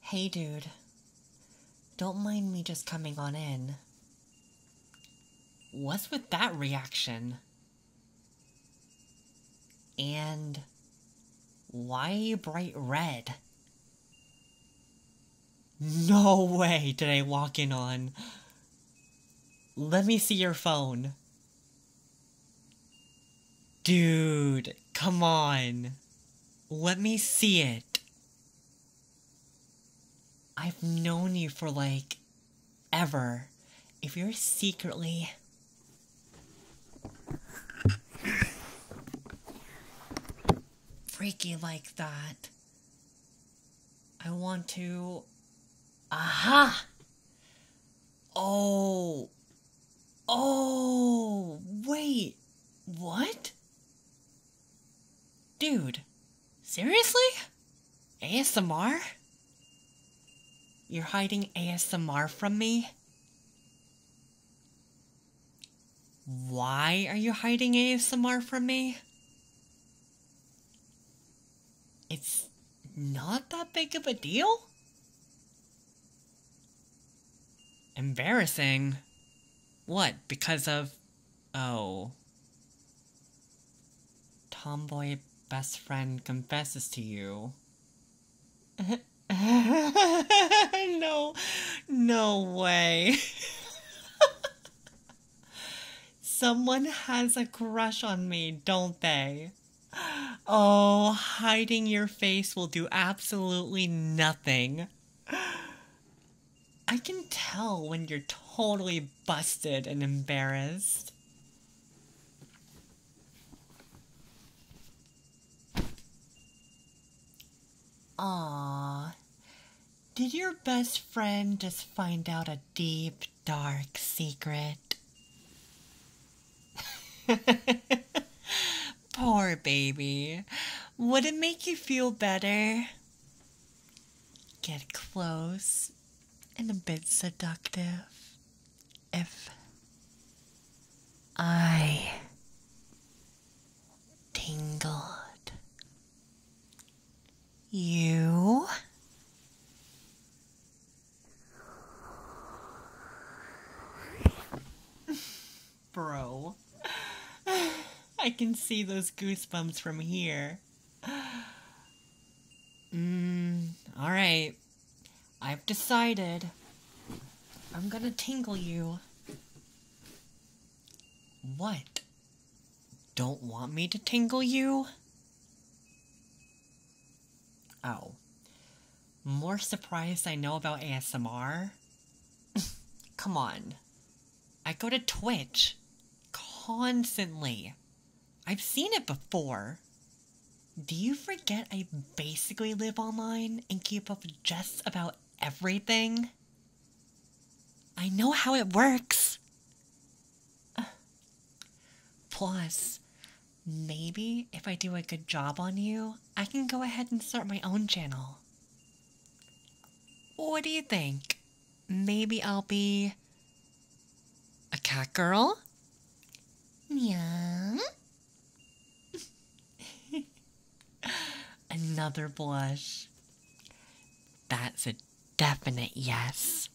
Hey, dude. Don't mind me just coming on in. What's with that reaction? And why bright red? No way did I walk in on. Let me see your phone. Dude, come on. Let me see it. I've known you for like ever. If you're secretly. freaky like that. I want to. Aha! Oh. Oh. Wait. What? Dude. Seriously? ASMR? You're hiding ASMR from me? Why are you hiding ASMR from me? It's not that big of a deal? Embarrassing? What, because of. Oh. Tomboy best friend confesses to you. no, no way. Someone has a crush on me, don't they? Oh, hiding your face will do absolutely nothing. I can tell when you're totally busted and embarrassed. Aww. Did your best friend just find out a deep, dark secret? Poor baby. Would it make you feel better? Get close and a bit seductive. If I tingled you Bro, I can see those goosebumps from here. Mm, all right. I've decided. I'm gonna tingle you. What? Don't want me to tingle you? Oh. More surprise I know about ASMR? Come on. I go to Twitch. Constantly. I've seen it before. Do you forget I basically live online and keep up just about everything? I know how it works. Plus, maybe if I do a good job on you, I can go ahead and start my own channel. What do you think? Maybe I'll be a cat girl? Meow. Another blush. That's a definite yes.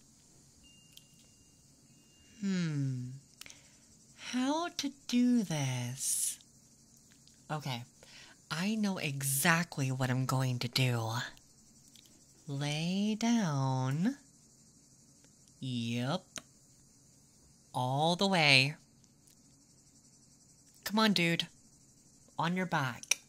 Hmm. How to do this? Okay, I know exactly what I'm going to do. Lay down. Yep. All the way. Come on, dude. On your back.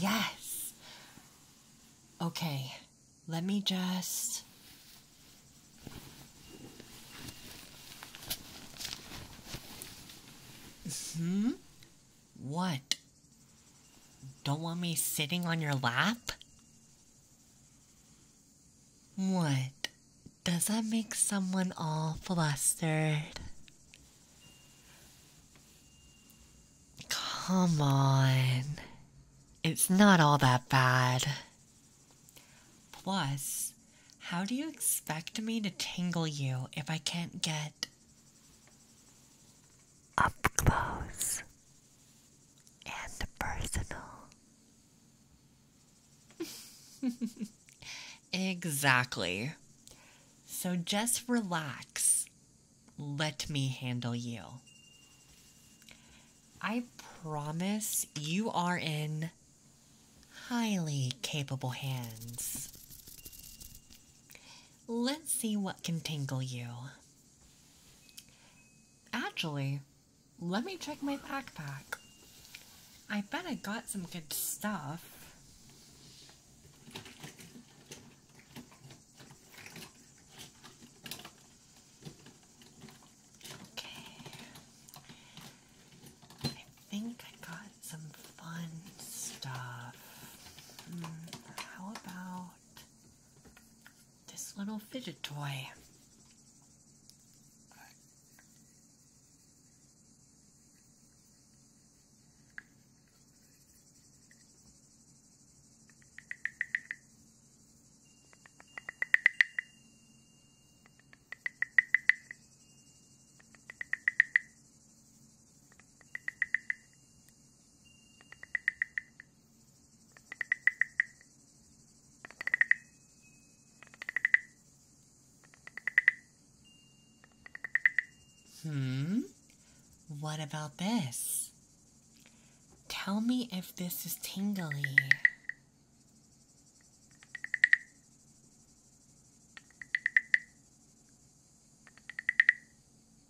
Yes. Okay, let me just. Hmm? What? Don't want me sitting on your lap? What? Does that make someone all flustered? Come on. It's not all that bad. Plus, how do you expect me to tingle you if I can't get up close and personal. exactly. So just relax. Let me handle you. I promise you are in highly capable hands. Let's see what can tingle you. Actually, let me check my backpack. I bet I got some good stuff. Okay. I think I got some fun stuff. Hmm, how about this little fidget toy. Hmm, what about this? Tell me if this is tingly.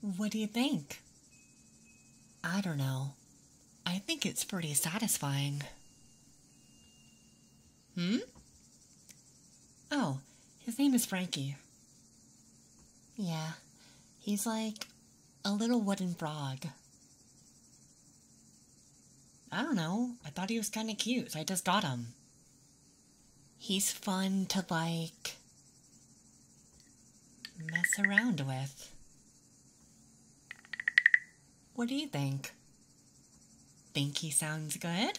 What do you think? I don't know. I think it's pretty satisfying. Hmm? Oh, his name is Frankie. Yeah, he's like a little wooden frog. I don't know. I thought he was kind of cute. I just got him. He's fun to like mess around with. What do you think? Think he sounds good?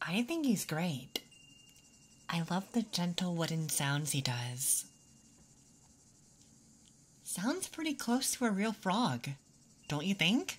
I think he's great. I love the gentle wooden sounds he does. Sounds pretty close to a real frog, don't you think?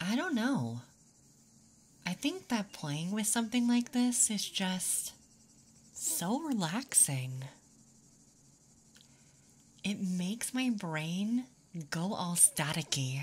I don't know. I think that playing with something like this is just so relaxing. It makes my brain go all staticky.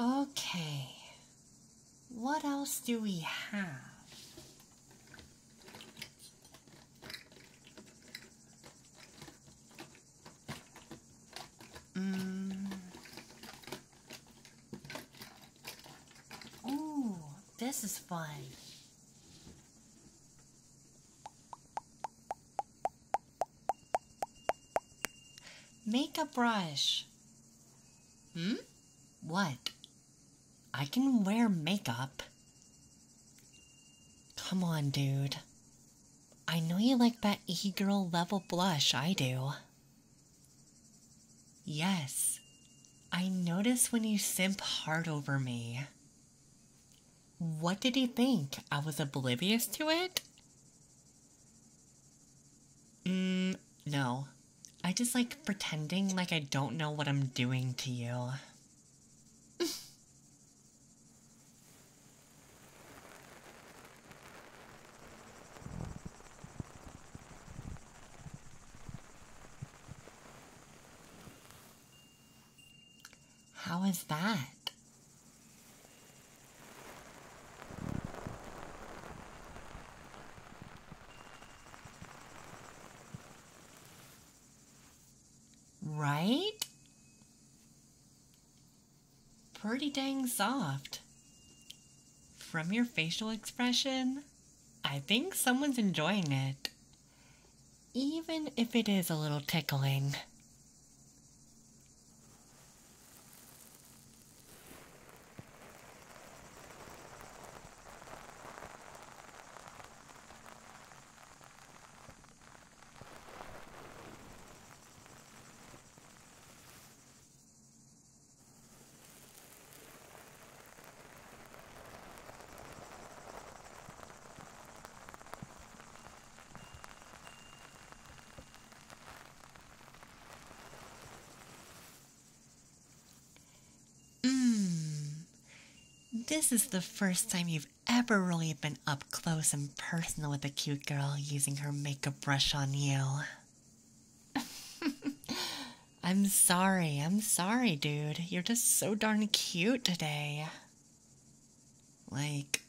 Okay, what else do we have? Mm. Ooh, this is fun. Make a brush. Hmm? What? I can wear makeup. Come on, dude. I know you like that e girl level blush, I do. Yes, I notice when you simp hard over me. What did he think? I was oblivious to it? Mm, no. I just like pretending like I don't know what I'm doing to you. How is that? Right? Pretty dang soft. From your facial expression, I think someone's enjoying it. Even if it is a little tickling. Hmm. This is the first time you've ever really been up close and personal with a cute girl using her makeup brush on you. I'm sorry, I'm sorry, dude. You're just so darn cute today. Like,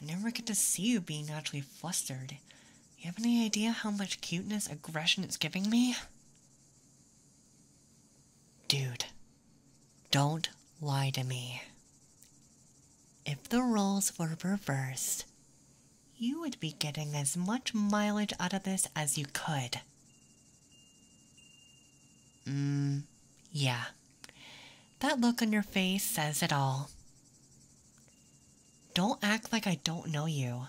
I never get to see you being actually flustered. You have any idea how much cuteness aggression it's giving me? Dude, don't lie to me. If the roles were reversed, you would be getting as much mileage out of this as you could. Mmm, yeah. That look on your face says it all. Don't act like I don't know you.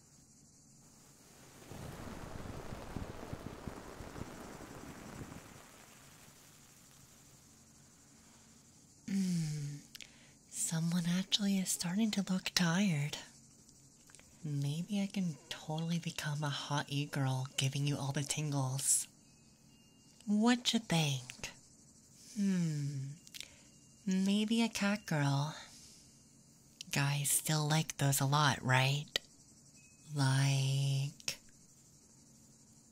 Mm, someone actually is starting to look tired. Maybe I can totally become a hot e girl giving you all the tingles. What you think? Hmm. Maybe a cat girl. Guys still like those a lot, right? Like.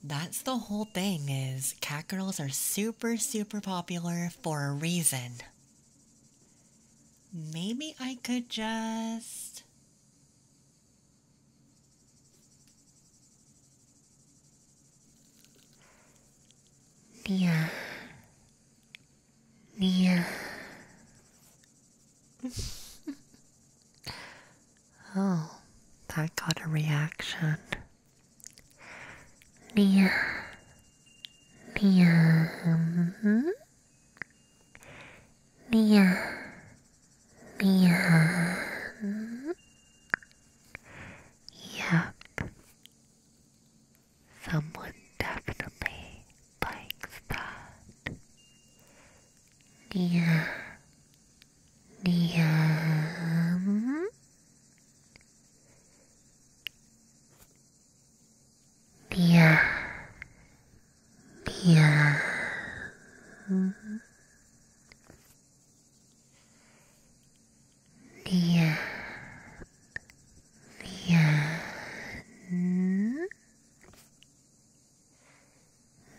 That's the whole thing is cat girls are super super popular for a reason. Maybe I could just Yeah. Yeah. oh, that got a reaction. Yeah. Yeah. Mm -hmm. Yeah. Someone definitely likes that. Yeah. Yeah. Yeah. Yeah. Leon, Leon, Leon,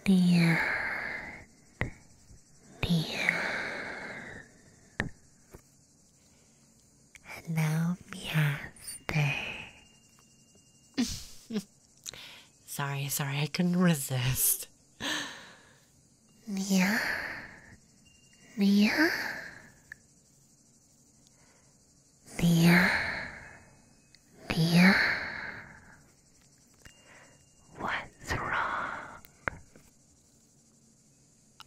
Leon. Hello, Master. sorry, sorry, I couldn't resist. Mia? Mia? Mia? Mia? What's wrong?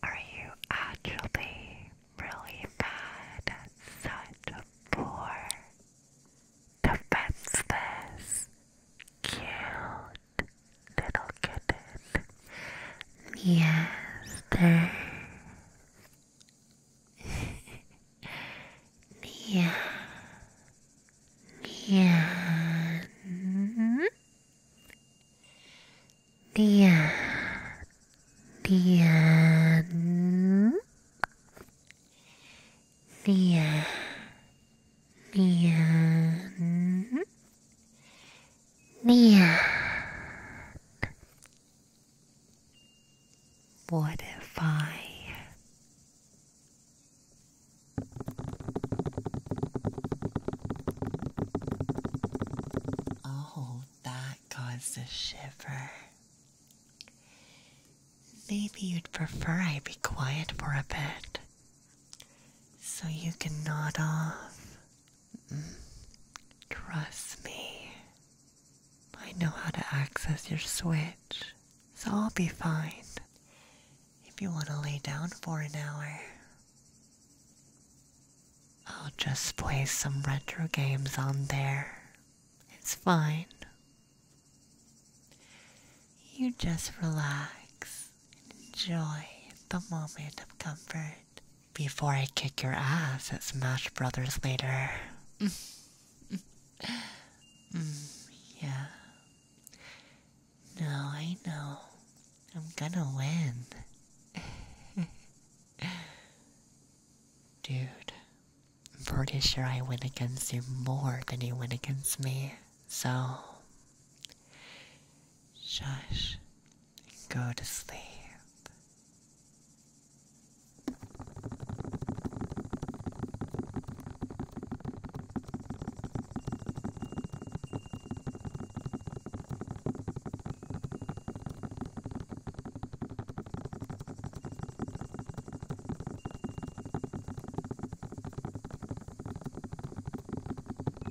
Are you actually really bad at such a poor, defenseless, cute little kitten. Meowster. Meow. Meow. Meow. Meow. Meow. Neon. Modify. Oh, that caused a shiver. Maybe you'd prefer I be quiet for a bit so you can nod off. Mm. Trust me. I know how to access your switch, so I'll be fine. If you want to lay down for an hour, I'll just play some retro games on there. It's fine. You just relax Enjoy the moment of comfort before I kick your ass at Smash Brothers later. Mm. Mm, yeah. No, I know. I'm gonna win. Dude, I'm pretty sure I win against you more than you win against me. So, Shush. Go to sleep.